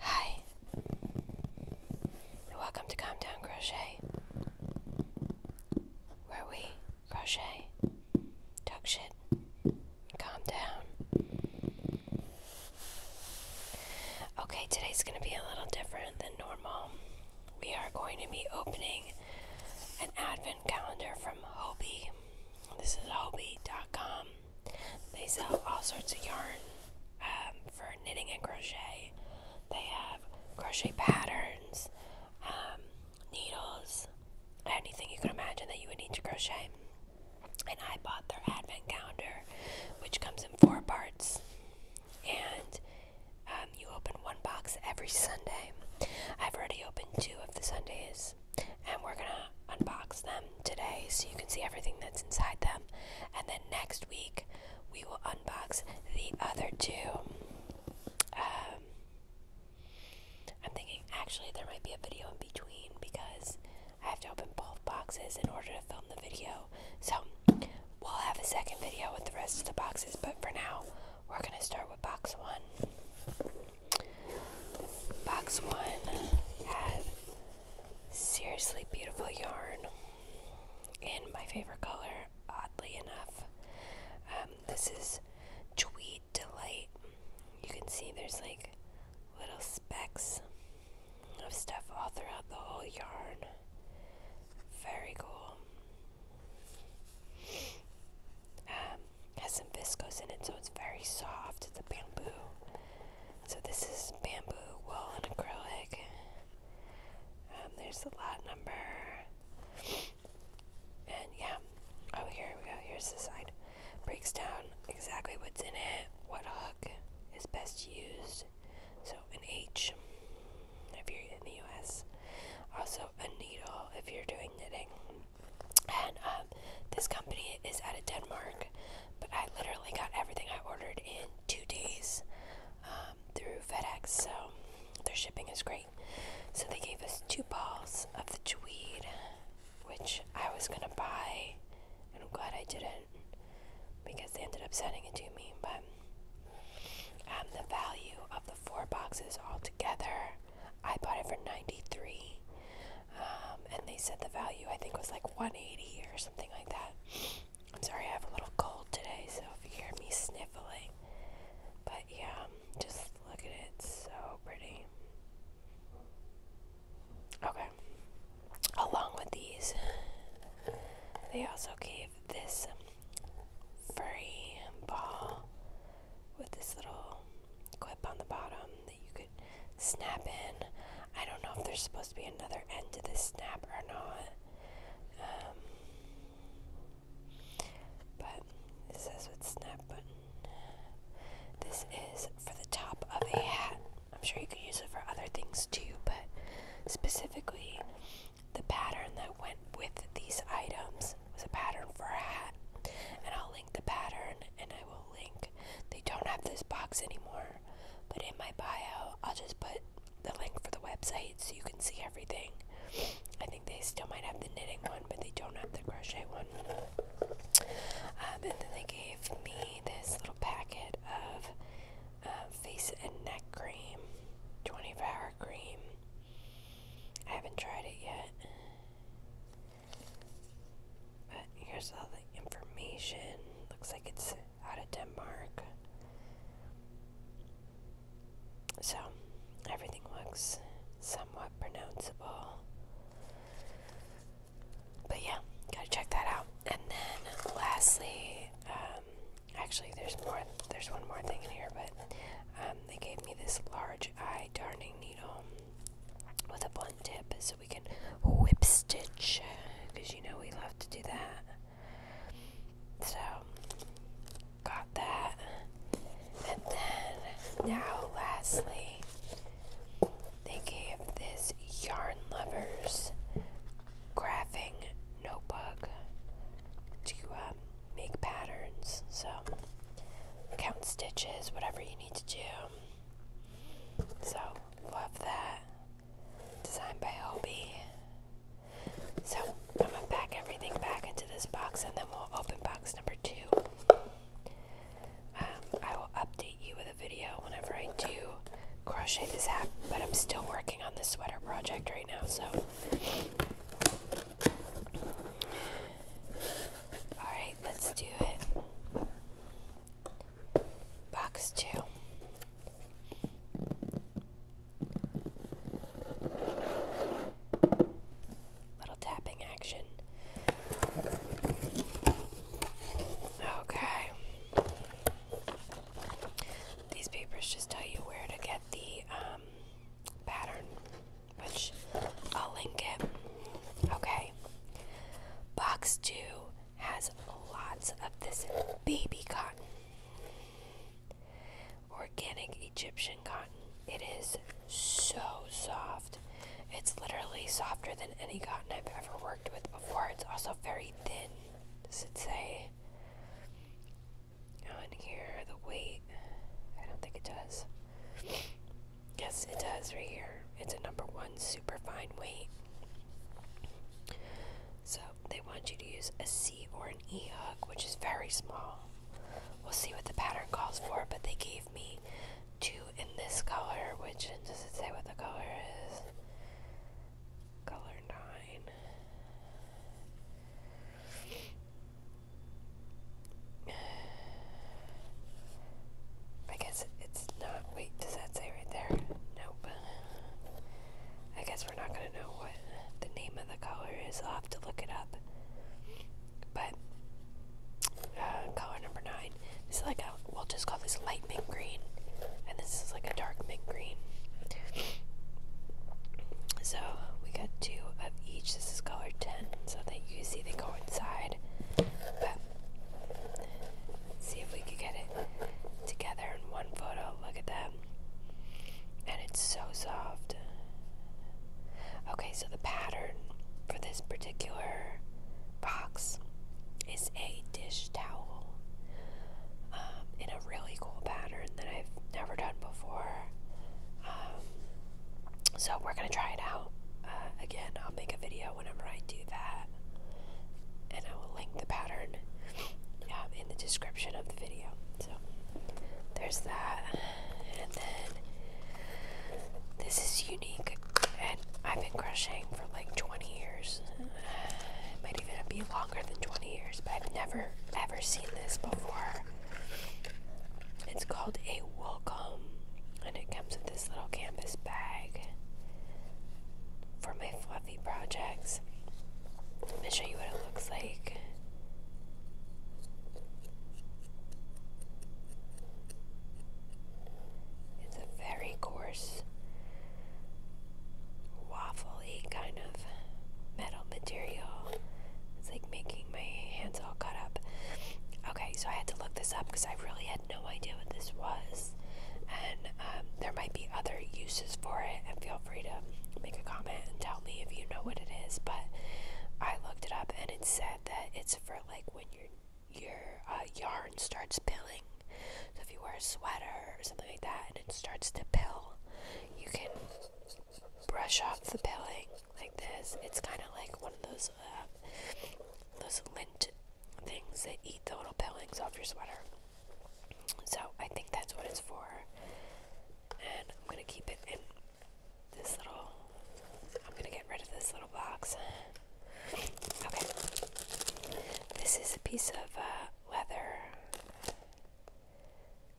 Hi, and welcome to Calm Down Crochet, where we crochet, talk shit, and calm down. Okay, today's going to be a little different than normal. We are going to be opening an advent calendar from Hobi. This is Hobi.com. They sell all sorts of yarn um, for knitting and crochet. They have crochet patterns, um, needles, anything you can imagine that you would need to crochet. And I bought their advent calendar, which comes in four parts. And um, you open one box every Sunday. I've already opened two of the Sundays and we're gonna unbox them today so you can see everything that's inside them and then next week we will unbox the other two um, i'm thinking actually there might be a video in between because i have to open both boxes in order to film the video so we'll have a second video with the rest of the boxes but for now we're gonna start with box one Box one has seriously beautiful yarn in my favorite color, oddly enough. Um, this is Tweed Delight. You can see there's like little specks of stuff all throughout the whole yarn. Very cool. Um, has some viscose in it, so it's very soft. It's a bamboo. So this is bamboo, wool, and acrylic. Um, there's the lot number. And yeah, oh, here we go. Here's the side. Breaks down exactly what's in it, what hook is best used. So, an H if you're in the US. Also, a needle if you're doing knitting. And um, this company is out of Denmark, but I literally got everything I ordered in two days um, through FedEx, so their shipping is great. So they gave us two balls of the tweed, which I was gonna buy, and I'm glad I didn't because they ended up sending it to me. But um, the value of the four boxes all together I bought it for 93 um, and they said the value I think was like 180 or something like that. I'm sorry, I have a little cold today, so if you hear me sniffling, but yeah, just look at it, so pretty. Okay, along with these, they also gave this furry ball with this little clip on the bottom that you could snap in. I don't know if there's supposed to be another end to this snap or not. Um, but it says with snap button. This is for the top of a hat. I'm sure you could use it for other things too, but specifically the pattern that went with these items was a pattern for a hat. And I'll link the pattern and I will link. They don't have this box anymore, but in my bio, I'll just put the link for the website so you can see everything. I think they still might have the knitting one, but they don't have the crochet one. Um, and then they gave me this little packet of uh, face and neck cream, 24 hour cream. I haven't tried it yet. But here's all the information. Looks like it's out of Denmark. So, everything looks somewhat pronounceable. But yeah, gotta check that out. And then, lastly, um, actually, there's more. There's one more thing in here, but um, they gave me this large eye darning needle with a blunt tip so we can whip stitch because you know we love to do that. So, got that. And then, now, lastly, they gave this Yarn Lovers graphing notebook to um, make patterns. So count stitches, whatever you need to do. So love that. Designed by Obi. So I'm gonna pack everything back into this box and then we'll open box number two. Um, I will update you with a video whenever I do crochet this hat, but I'm still working on the sweater project right now, so Alright, let's do it. Box two. Little tapping action. Okay. These papers just tell you where to get the um, pattern, which I'll link it. Okay. Box two has lots of this baby cotton. Organic Egyptian cotton. It is so soft. It's literally softer than any cotton I've ever worked with before. It's also very thin. Does it say? on here, the weight. I don't think it does. Yes, it does right here. It's a number one super fine weight. So they want you to use a C or an E hook, which is very small. We'll see what the pattern calls for, but they gave me two in this color, which does it say what the color is? color nine. I guess it's not. Wait, does that say right there? Nope. I guess we're not going to know what the name of the color is. I'll have to look it up. But, uh, color number nine. This is like a, we'll just call this light mint green and this is like a dark mint green. So we got two of each. This is color 10, so that you see they go inside. But see if we could get it together in one photo. Look at them. And it's so soft. Okay, so the pattern for this particular box is a dish towel um, in a really cool pattern that I've never done before. Um, so we're gonna try it out. Uh, again, I'll make a video whenever I do that, and I will link the pattern um, in the description of the video. So there's that, and then this is unique, and I've been crushing for like 20 years. it might even be longer longer than 20 years, but I've never ever seen this before. It's called a welcome, and it comes with this little canvas bag for my fluffy projects. Let me show you what it looks like. It's very coarse waffly kind of metal material. It's like making my hands all cut up. Okay, so I had to look this up because I really had no idea what this was. And um, there might be other uses for it, and feel free to make a comment and tell me if you know what it is. But I looked it up, and it said that it's for like when your your uh, yarn starts pilling, so if you wear a sweater or something like that and it starts to pill, you can brush off the pilling like this. It's kind of like one of those uh, those lint things that eat the little pillings off your sweater. So I think that's what it's for. And I'm gonna keep it in this little. I'm gonna get rid of this little box. Okay. This is a piece of uh, leather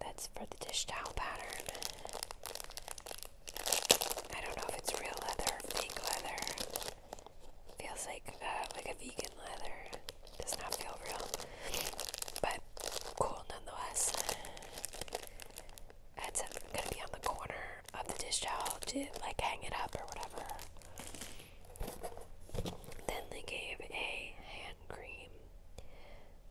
that's for the dish towel pattern. I don't know if it's real leather or fake leather. Feels like uh, like a vegan leather. Does not feel real, but cool nonetheless. It's uh, gonna be on the corner of the dish towel to like hang it up or whatever. Then they gave a hand cream,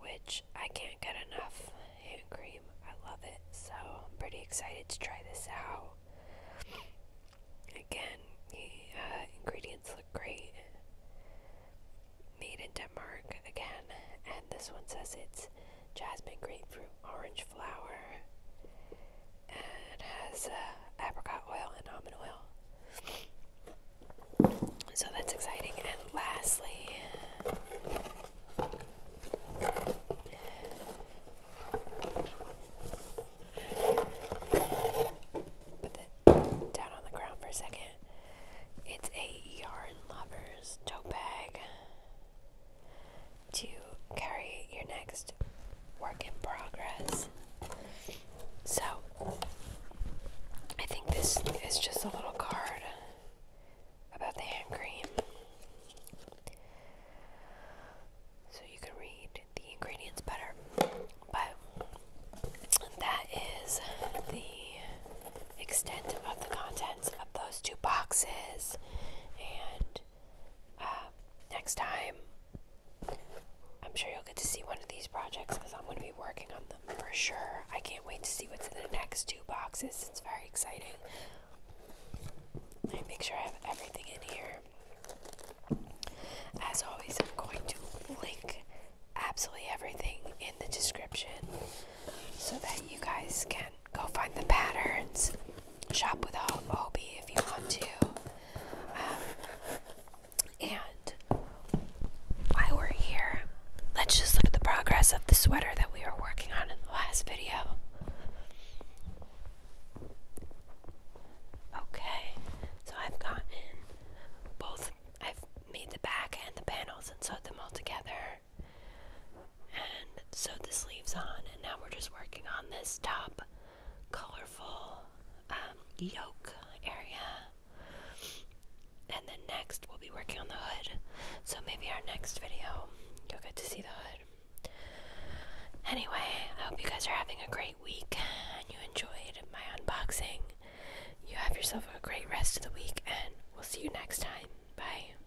which I can't get enough hand cream. I love it, so I'm pretty excited to try this out. Again, the uh, ingredients look great. Made in Denmark again, and this one says it's jasmine, grapefruit, orange flower, and has uh, apricot oil and almond oil. So that's exciting. And lastly, put that down on the ground for a second. It's a Yarn Lovers tote bag to carry your next work in progress. So, I think this is just a little card about the hand cream. So you can read the ingredients better. But that is the extent of the contents of those two boxes. And uh, next time, I'm sure you'll get to see one of these projects because I'm going to be working on them for sure. I can't wait to see what's in the next two boxes. It's very exciting. I make sure I have everything in here. As always, I'm going to link absolutely everything in the description so that you guys can Go find the patterns. Shop with Obi if you want to. Um, and while we're here, let's just look at the progress of the sweater that we were working on in the last video. Okay, so I've gotten both, I've made the back and the panels and sewed them all together. And so the sleeves on, and now we're just working on this top colorful um, yoke area. And then next, we'll be working on the hood. So maybe our next video, you'll get to see the hood. Anyway, I hope you guys are having a great week and you enjoyed my unboxing. You have yourself a great rest of the week, and we'll see you next time. Bye.